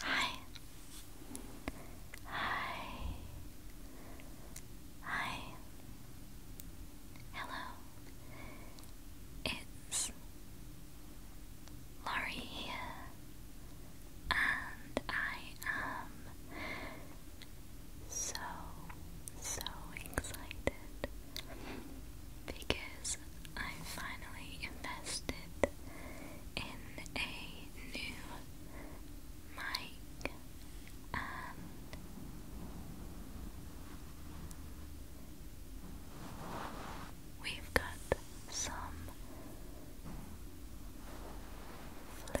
Hi. Hi. Hi. Hello. It's Laurie here, and I am so, so excited because I finally invested in a new mic we've got some floof.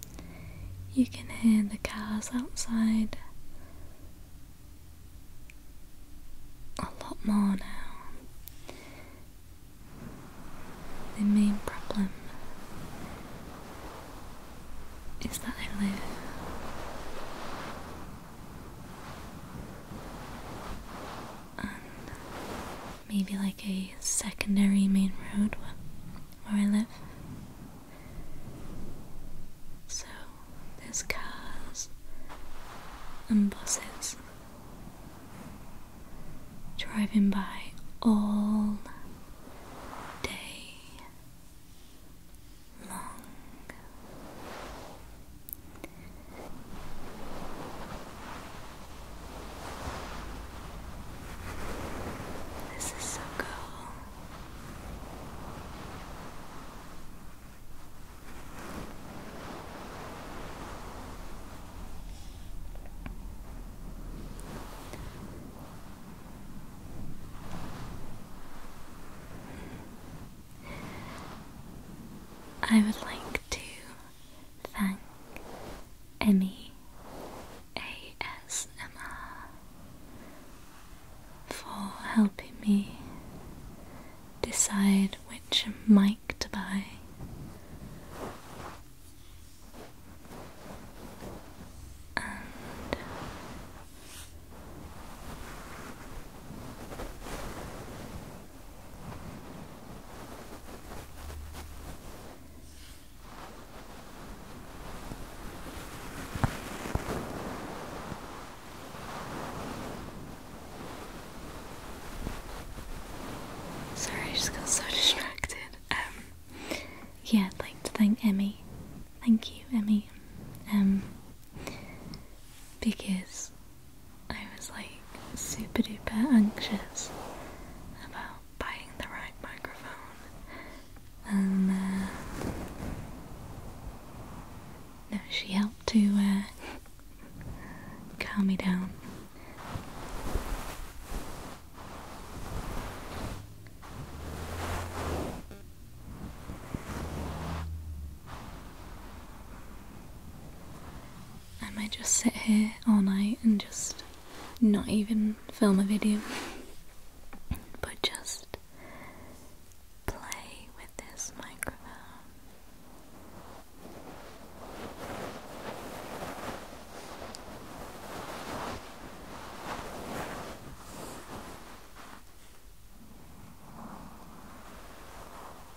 You can hear the cars outside a lot more now. The main problem is that I live maybe like a secondary main road where I live. So there's cars and buses driving by all day long. This is so cool. I would like to Thank Emmy ASMR for helping me decide which mic to buy. Sorry, I just got so distracted. Um, yeah, I'd like to thank Emmy. Thank you, Emmy. Um, because I was like super duper anxious about buying the right microphone and uh, she helped to uh, calm me down. I might just sit here all night and just not even film a video, but just play with this microphone.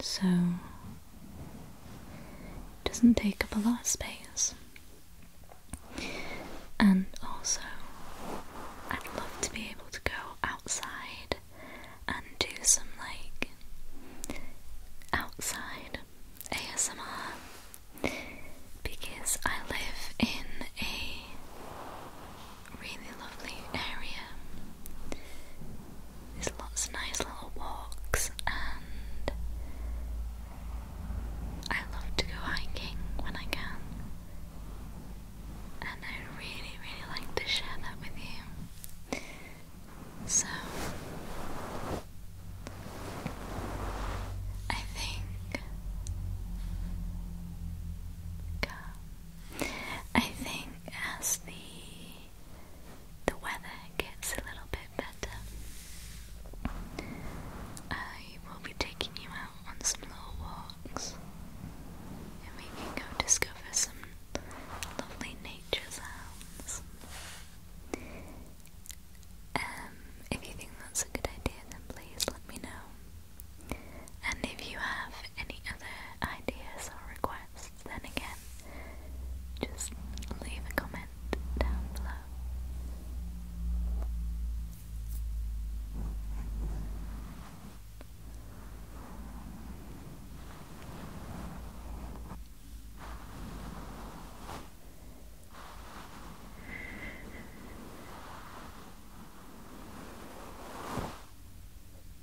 so it doesn't take up a lot of space. And also, I'd love to be able to go outside and do some like outside ASMR because I live in a really lovely area there's lots of nice little walks, and I love to go hiking when I can. And I really, really like to share that with you. So, I think. I think as the the weather gets a little bit better, I will be taking you out on some little walks and we can go discover some lovely nature sounds. Um, if you think that's a good idea, then please let me know. And if you have any other ideas or requests, then again, just leave a comment down below.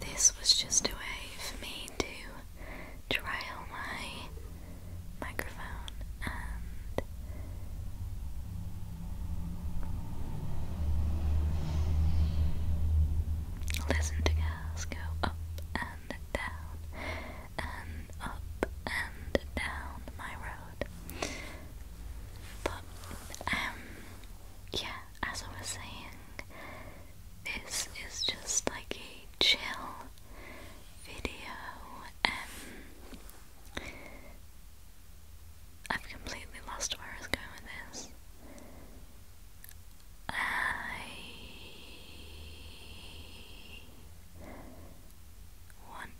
This was just a way for me to trial my microphone and listen to girls go up and down and up and down my road. But um yeah, as I was saying, this is just like a chill video. Um I've completely lost where I was going with this. I want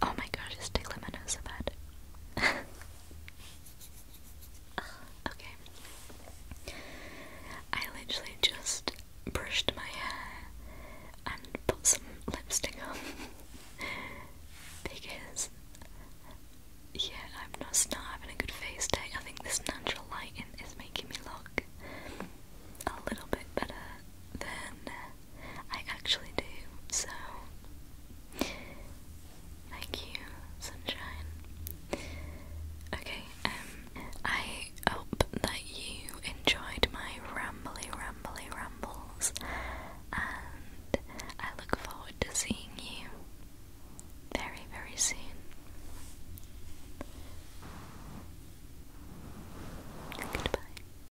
Oh my gosh, it's Taylor Minnesota. okay. I literally just brushed my hair and put some lipstick on because yeah, I'm just not having a good face day. I think this natural lighting is making me look a little bit better than I actually do, so thank you, sunshine. Okay, um, I hope that you enjoyed my rambley, rambley rambles, and I look forward to seeing you very, very soon. Goodbye.